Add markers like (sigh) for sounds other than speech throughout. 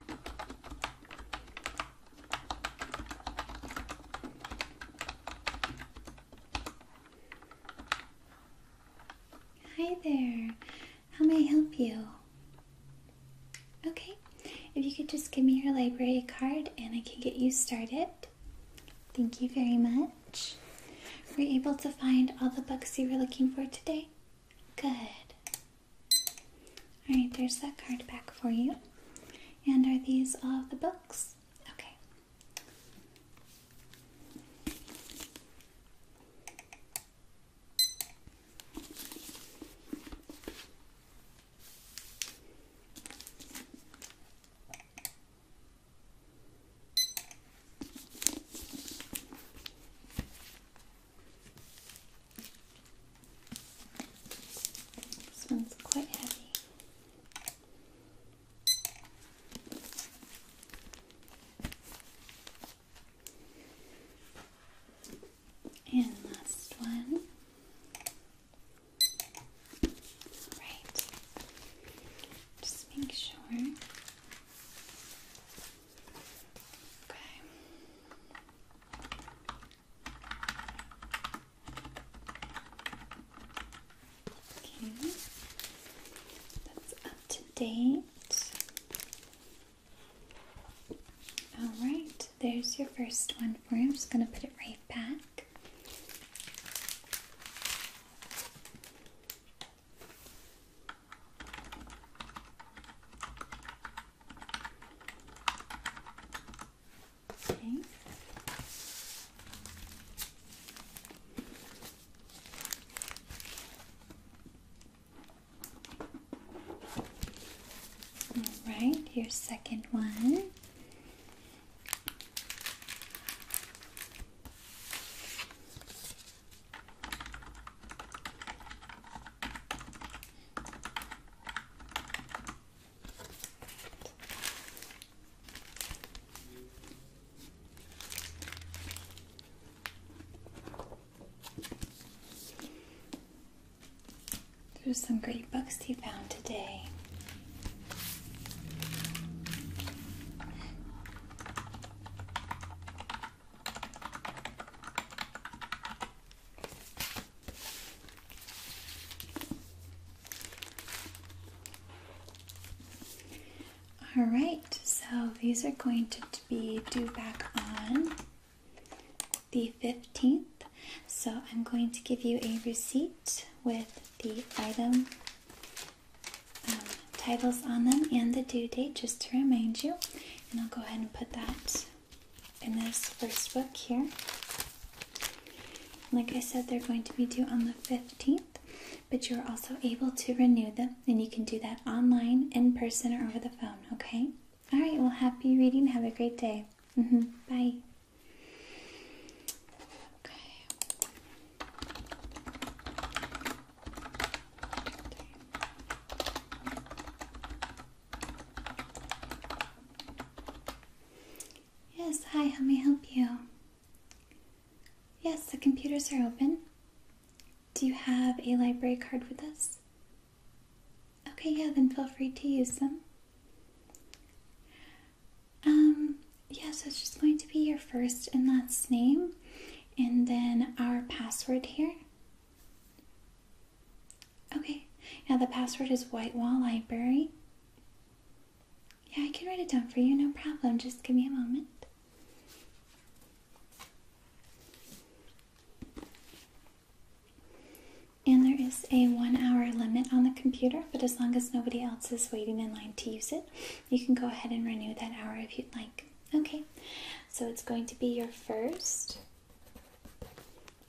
Hi there. How may I help you? Okay. If you could just give me your library card and I can get you started. Thank you very much. We're able to find all the books you were looking for today? Good. Alright, there's that card back for you. And are these all the books? Okay. This one's quite heavy. And last one. All right. Just make sure Okay. Okay, that's up to date. Alright, there's your first one for you. I'm just going to put it right back. Okay. All right, your second one. There's some great books you found today. All right, so these are going to be due back on the 15th. So I'm going to give you a receipt with the item um, titles on them and the due date just to remind you. And I'll go ahead and put that in this first book here. Like I said, they're going to be due on the 15th, but you're also able to renew them, and you can do that online, in person, or over the phone, okay? All right, well, happy reading. Have a great day. Mm-hmm. Bye. Yes, hi, Let me help you? Yes, the computers are open. Do you have a library card with us? Okay, yeah, then feel free to use them. Um, yeah, so it's just going to be your first and last name, and then our password here. Okay, now the password is White Wall Library. Yeah, I can write it down for you, no problem. Just give me a moment. And there is a one hour limit on the computer, but as long as nobody else is waiting in line to use it, you can go ahead and renew that hour if you'd like. Okay, so it's going to be your first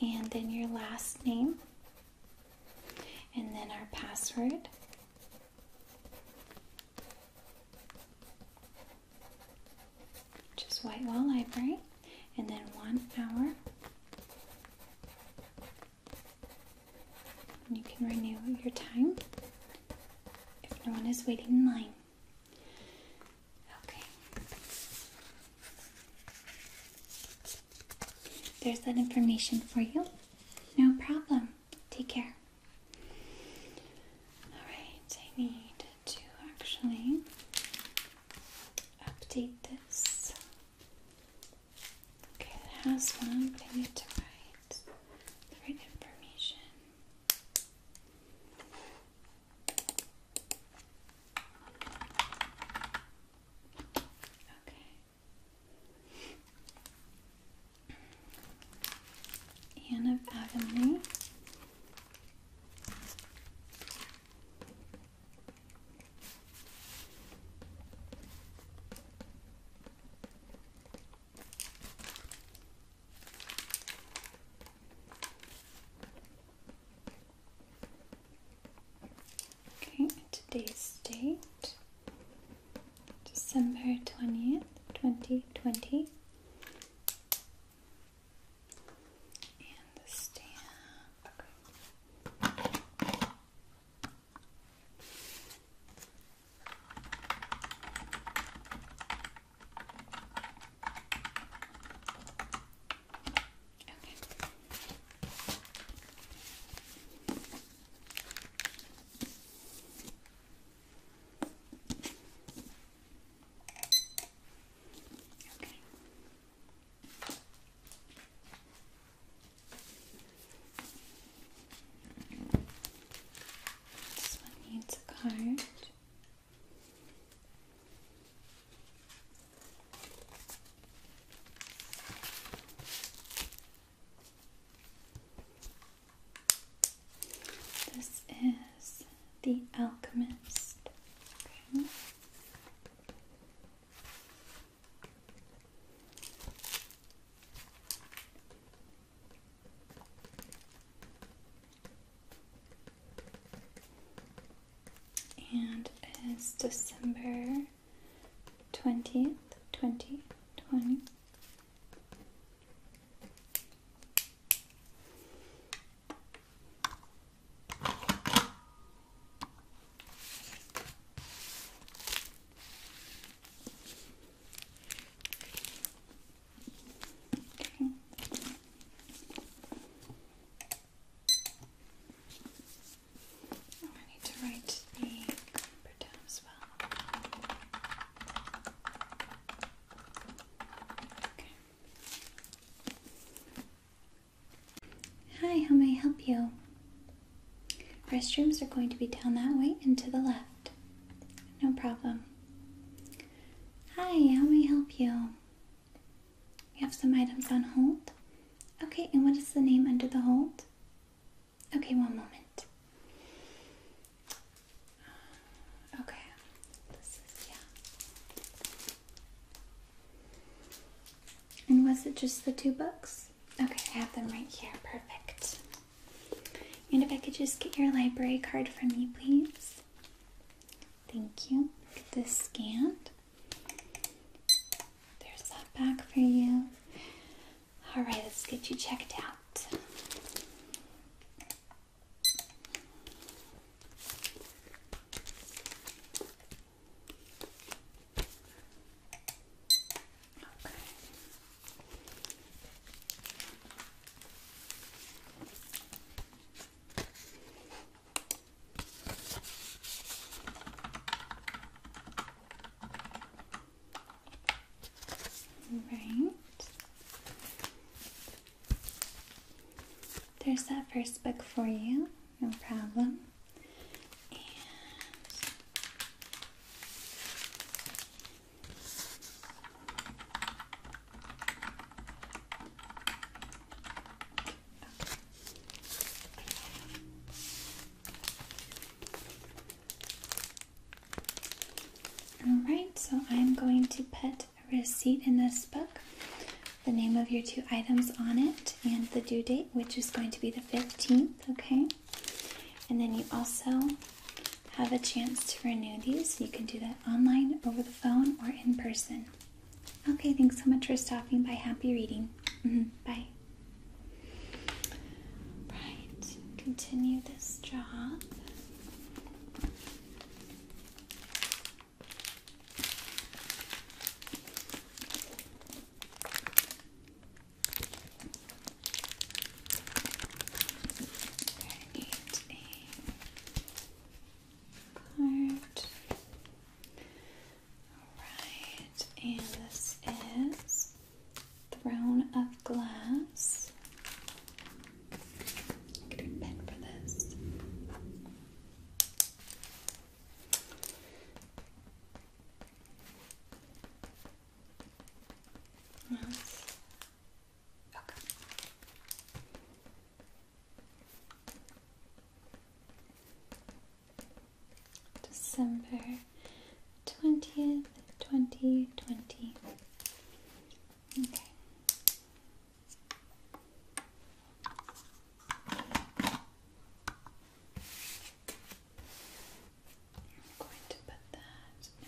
and then your last name, and then our password. Which is Whitewall Library, and then one hour. And you can renew your time if no one is waiting in line. Okay. There's that information for you. No problem. Take care. Alright, I need to actually update this. Okay, it has one, but I need to write the right information. Anne of Avonlea. Okay, today's date December 20th, 2020. And the stamp. Okay. Okay. This one needs a card. This is The Alchemist and it's December 20th, 2020. Hi, how may I help you? Restrooms are going to be down that way and to the left. No problem. Hi, how may I help you? You have some items on hold? Okay, and what is the name under the hold? Okay, one moment. Okay, And was it just the two books? Okay, I have them right here. Perfect. And if I could just get your library card from you, please. Thank you. Get this scanned. There's that back for you. All right, let's get you checked out. Okay. Right. There's that first book for you, no problem. Alright, so I'm going to put a receipt in this book, the name of your two items on it, and the due date, which is going to be the 15th, okay? And then you also have a chance to renew these. You can do that online, over the phone, or in person. Okay, thanks so much for stopping by. Happy reading. Mm-hmm. Bye. Right, continue this job. Alright, and this is Throne of Glass. Get a pen for this. That's December 20th, 2020. Okay. I'm going to put that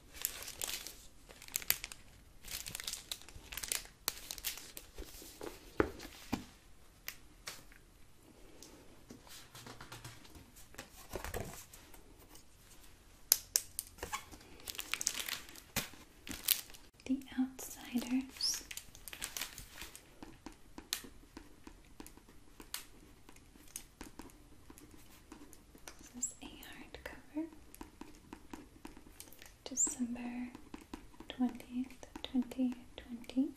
The Outsiders. This is a hardcover. December 20th, 2020. Okay.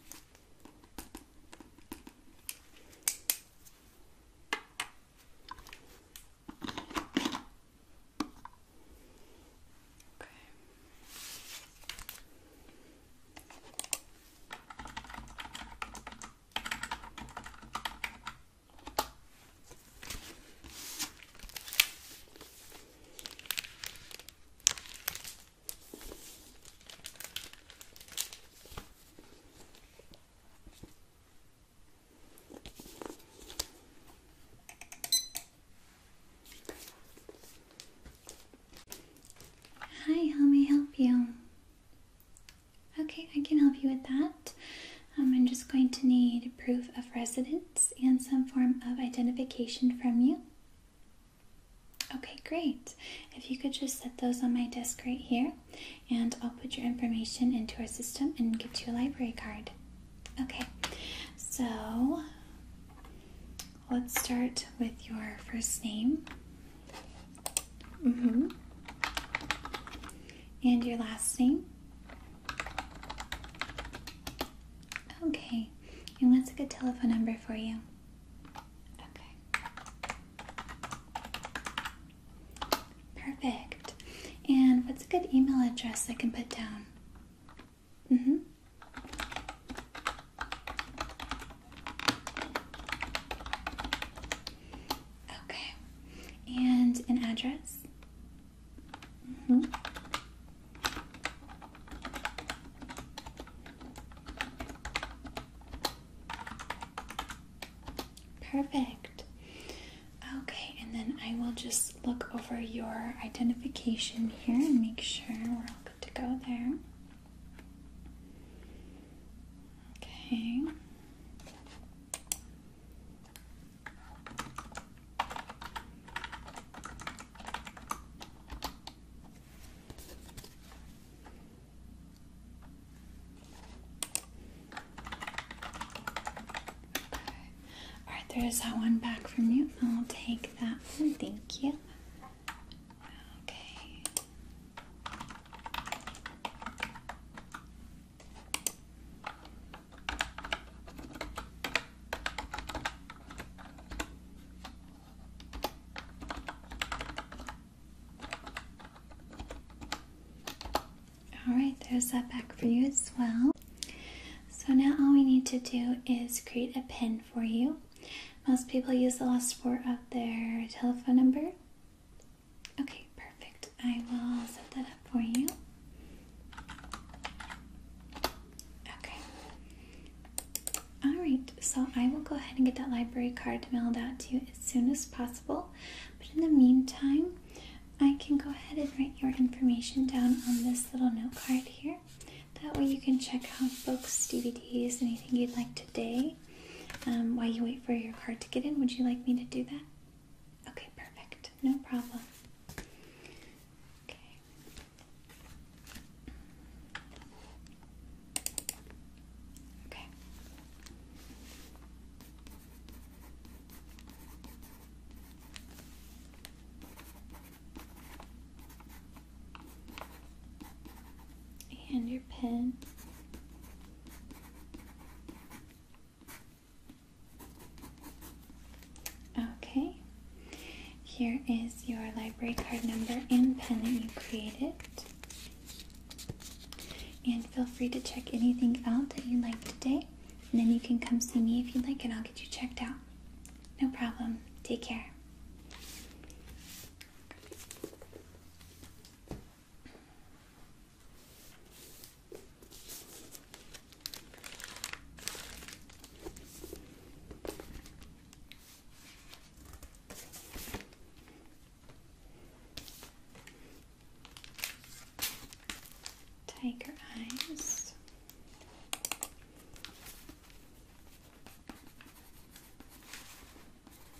Hi, Let me help you? Okay, I can help you with that. Um, I'm just going to need proof of residence and some form of identification from you. Okay, great. If you could just set those on my desk right here, and I'll put your information into our system and get you a library card. Okay, so let's start with your first name. Mm-hmm. And your last name? Okay. And what's a good telephone number for you? Okay. Perfect. And what's a good email address I can put down? Mm-hmm. Okay. And an address? Hmm? Perfect. Okay, and then I will just look over your identification here and make sure we're all good to go there. Okay. All right, there's that one back from you. I'll take that one. Thank you. Okay. All right, there's that back for you as well. So now all we need to do is create a pin for you. Most people use the last four of their telephone number. Okay, perfect. I will set that up for you. Okay. Alright, so I will go ahead and get that library card mailed out to you as soon as possible. But in the meantime, I can go ahead and write your information down on this little note card here. That way you can check out books, DVDs, anything you'd like today. Um, while you wait for your card to get in, would you like me to do that? Okay, perfect. No problem. Okay. Okay. And your pin. Okay, here is your library card number and pen that you created. And feel free to check anything out that you like today. And then you can come see me if you'd like, and I'll get you checked out. No problem. Take care. Tiger eyes.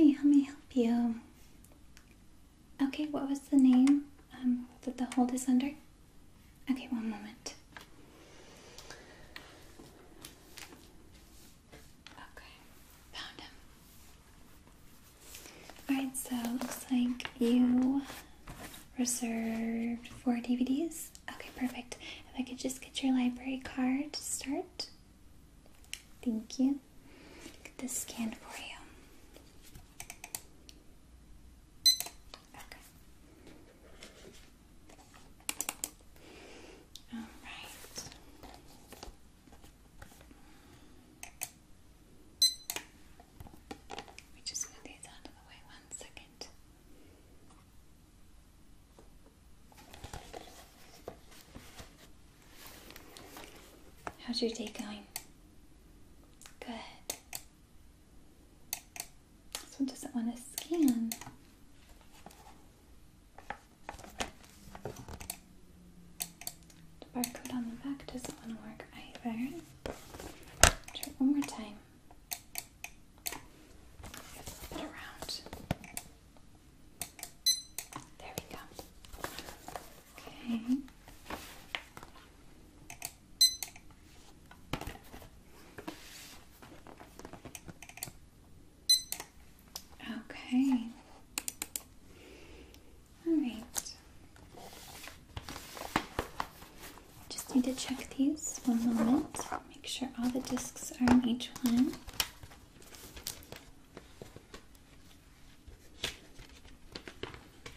Hi, Let me help you? Okay, what was the name um, that the hold is under? Okay, one moment. Okay, found him. Alright, so looks like you reserved four DVDs. Okay, perfect. If I could just get your library card to start. Thank you. Get this scanned for you. Okay. All right. We just move these out of the way one second. How's your day going? Good. This one doesn't want to scan. The barcode on the back doesn't want to work either. Try one more time. Flip it around. There we go. Okay. Okay. All right. Just need to check these one moment. Make sure all the discs are in each one.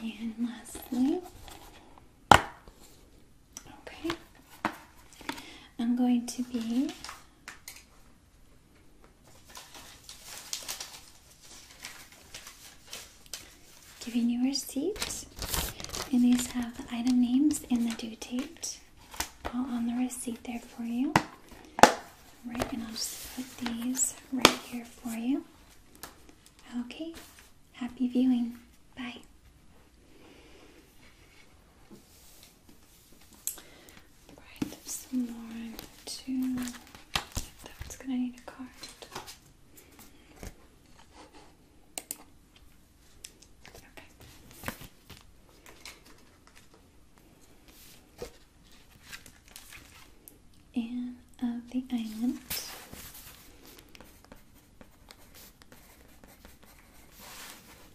And lastly, okay, I'm going to be Giving you a receipt, and these have the item names and the due date all on the receipt there for you. Right, and I'll just put these right here for you. Okay, happy viewing. Bye. Right, there's some more too. That gonna need a card. Okay. of the Island.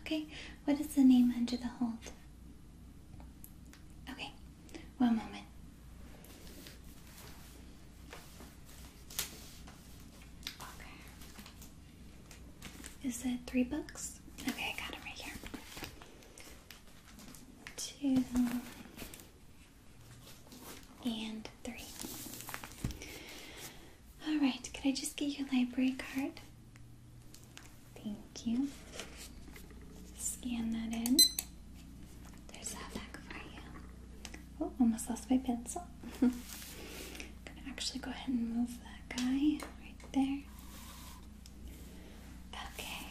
Okay, what is the name under the hold? Okay, one moment. Okay. Is it three books? Okay, I got them right here. Two and three. All right, could I just get your library card? Thank you. Scan that in. There's that back for you. Oh, almost lost my pencil. (laughs) gonna actually go ahead and move that guy right there. Okay.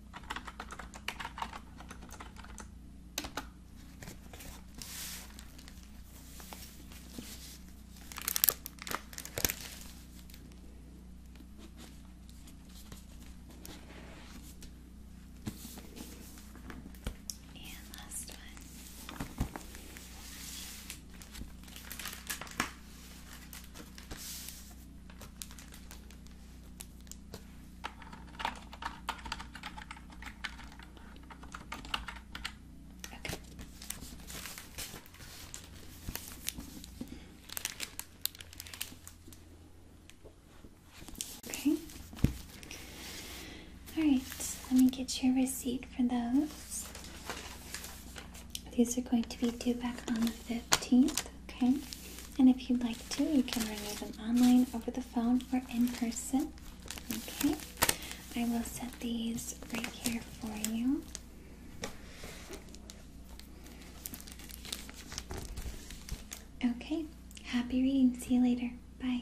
And last one. Okay. Okay. All right, let me get your receipt for those. These are going to be due back on the 15th, okay? And if you'd like to, you can renew them online, over the phone, or in person. Okay, I will set these right here for you. Okay, happy reading. See you later. Bye.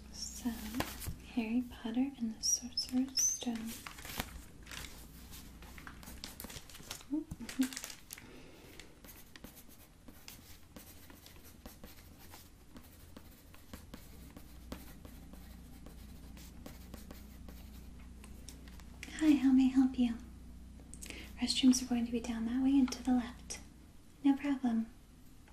So, Harry Potter and the Sorcerer's Stone. Hi, how may I help you? Restrooms are going to be down that way and to the left. No problem.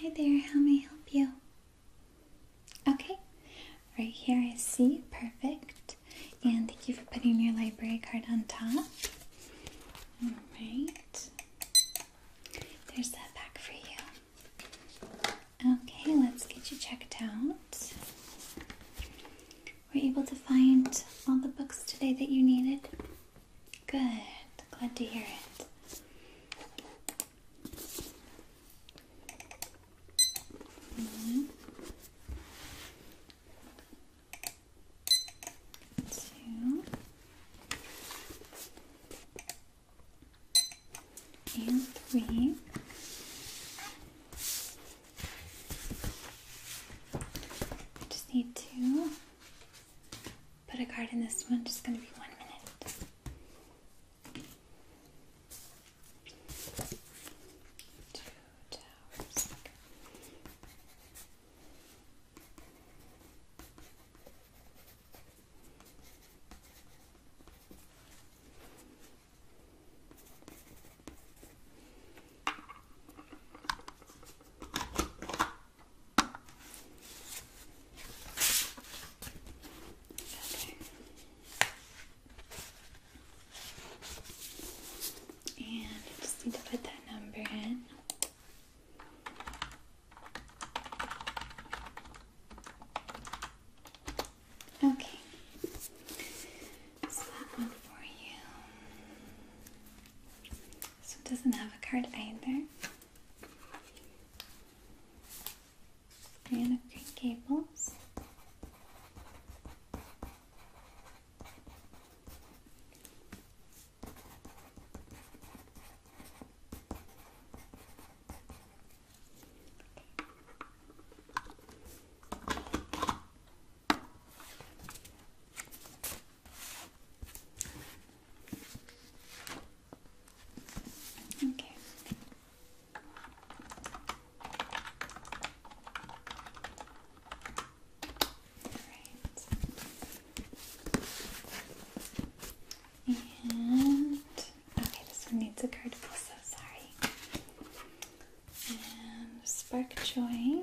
Hi there, how may I help you? Okay, right here I see, perfect. And thank you for putting your library card on top. Alright, there's that back for you. Okay, let's get you checked out. We're able to find all the books today that you needed? Good, glad to hear it. One, two, and three. I just need to put a card in this one, just going to be one minute. Two towers. Okay. And I just need to put that number in. Okay. So that one for you. So it doesn't have a card either and green cables. Okay. Alright. And okay, this one needs a card also, sorry. And Spark Joy.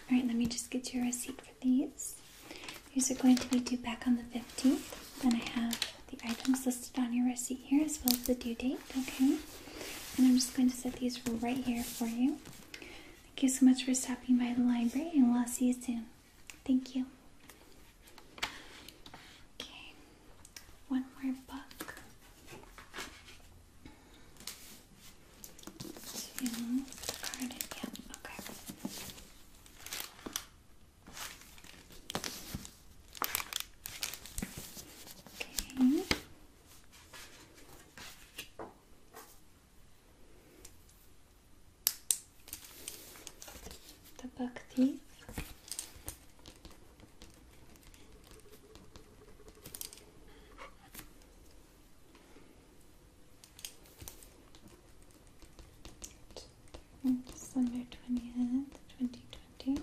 All right, let me just get your receipt for these. These are going to be due back on the 15th. Then I have the items listed on your receipt here as well as the due date, okay? And I'm just going to set these right here for you. Thank you so much for stopping by the library, and we'll see you soon. Thank you. Okay one more book to okay. Okay the buck thief. December 20th, 2020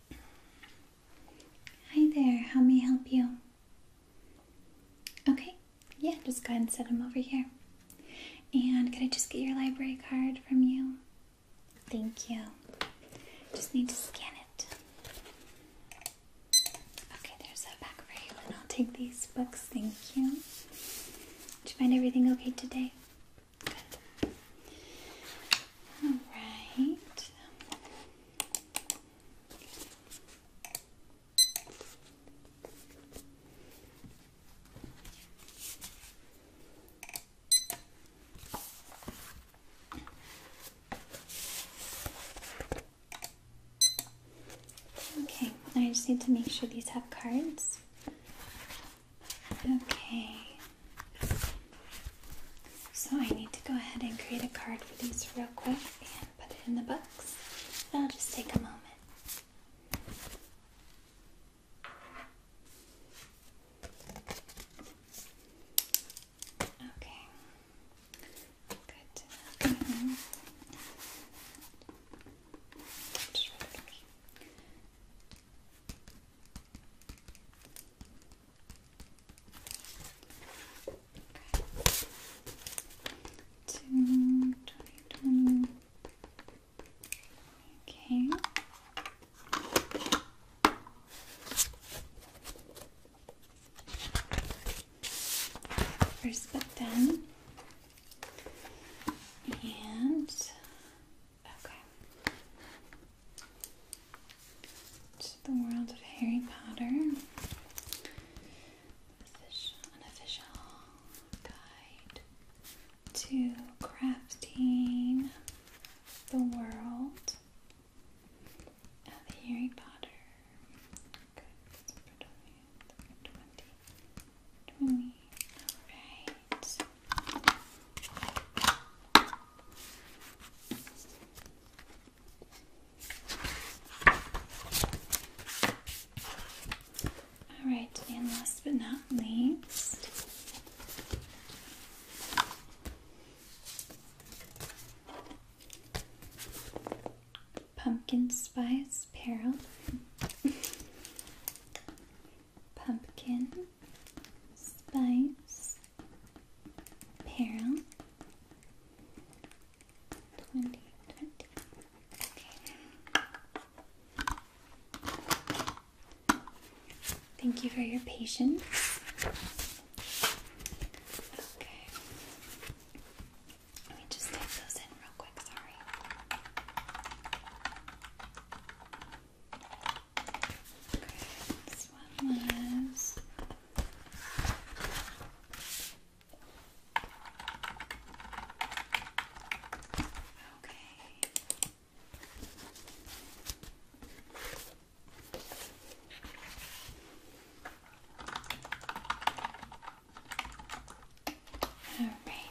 Hi there, how may I help you? Okay, yeah, just go ahead and set them over here. And could I just get your library card from you? Thank you. Just need to scan it. Okay, there's a back frame, and I'll take these books. Thank you. Did you find everything okay today? Good. All right. Okay, I just need to make sure these have cards. Okay. So I need to go ahead and create a card for these real quick and put it in the box. i will just take a moment. Okay. Good. Two, Okay. First button and Okay. It's the world of Harry Potter. This unofficial guide to crafting the world of Harry Potter. Okay, Alright. All right, and last but not least, pumpkin spice peril. (laughs) Pumpkin Spice Peril 2020. Okay. Thank you for your patience. Okay. Let me just type those in real quick, sorry. Okay, this one was okay. All right.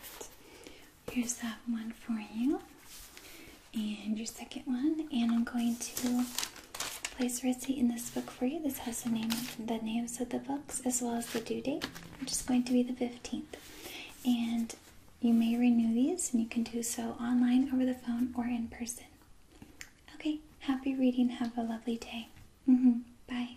Here's that one for you, and your second one. And I'm going to place a receipt in this book for you. This has the name, the names of the books, as well as the due date, which is going to be the 15th. And you may renew these, and you can do so online, over the phone, or in person. Okay, happy reading. Have a lovely day. Mm-hmm. Bye.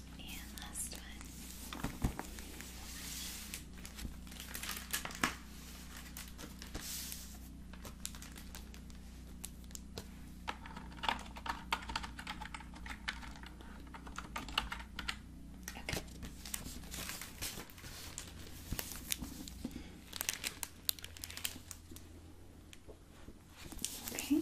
And last one. Okay. Okay.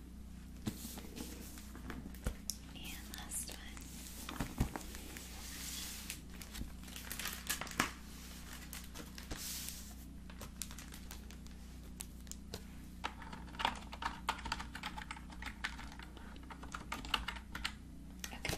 And last one. Okay.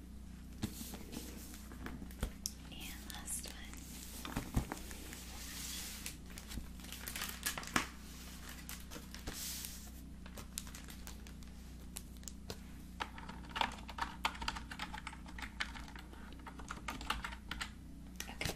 And last one. Okay.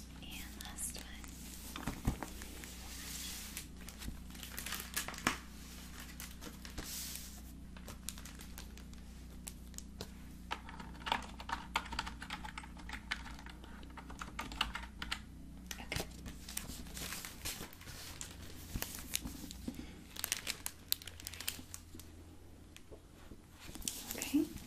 And last one. Okay. Okay.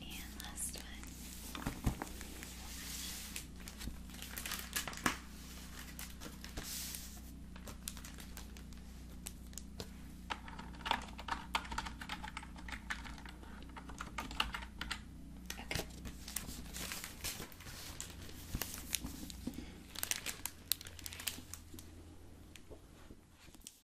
And last one. Okay.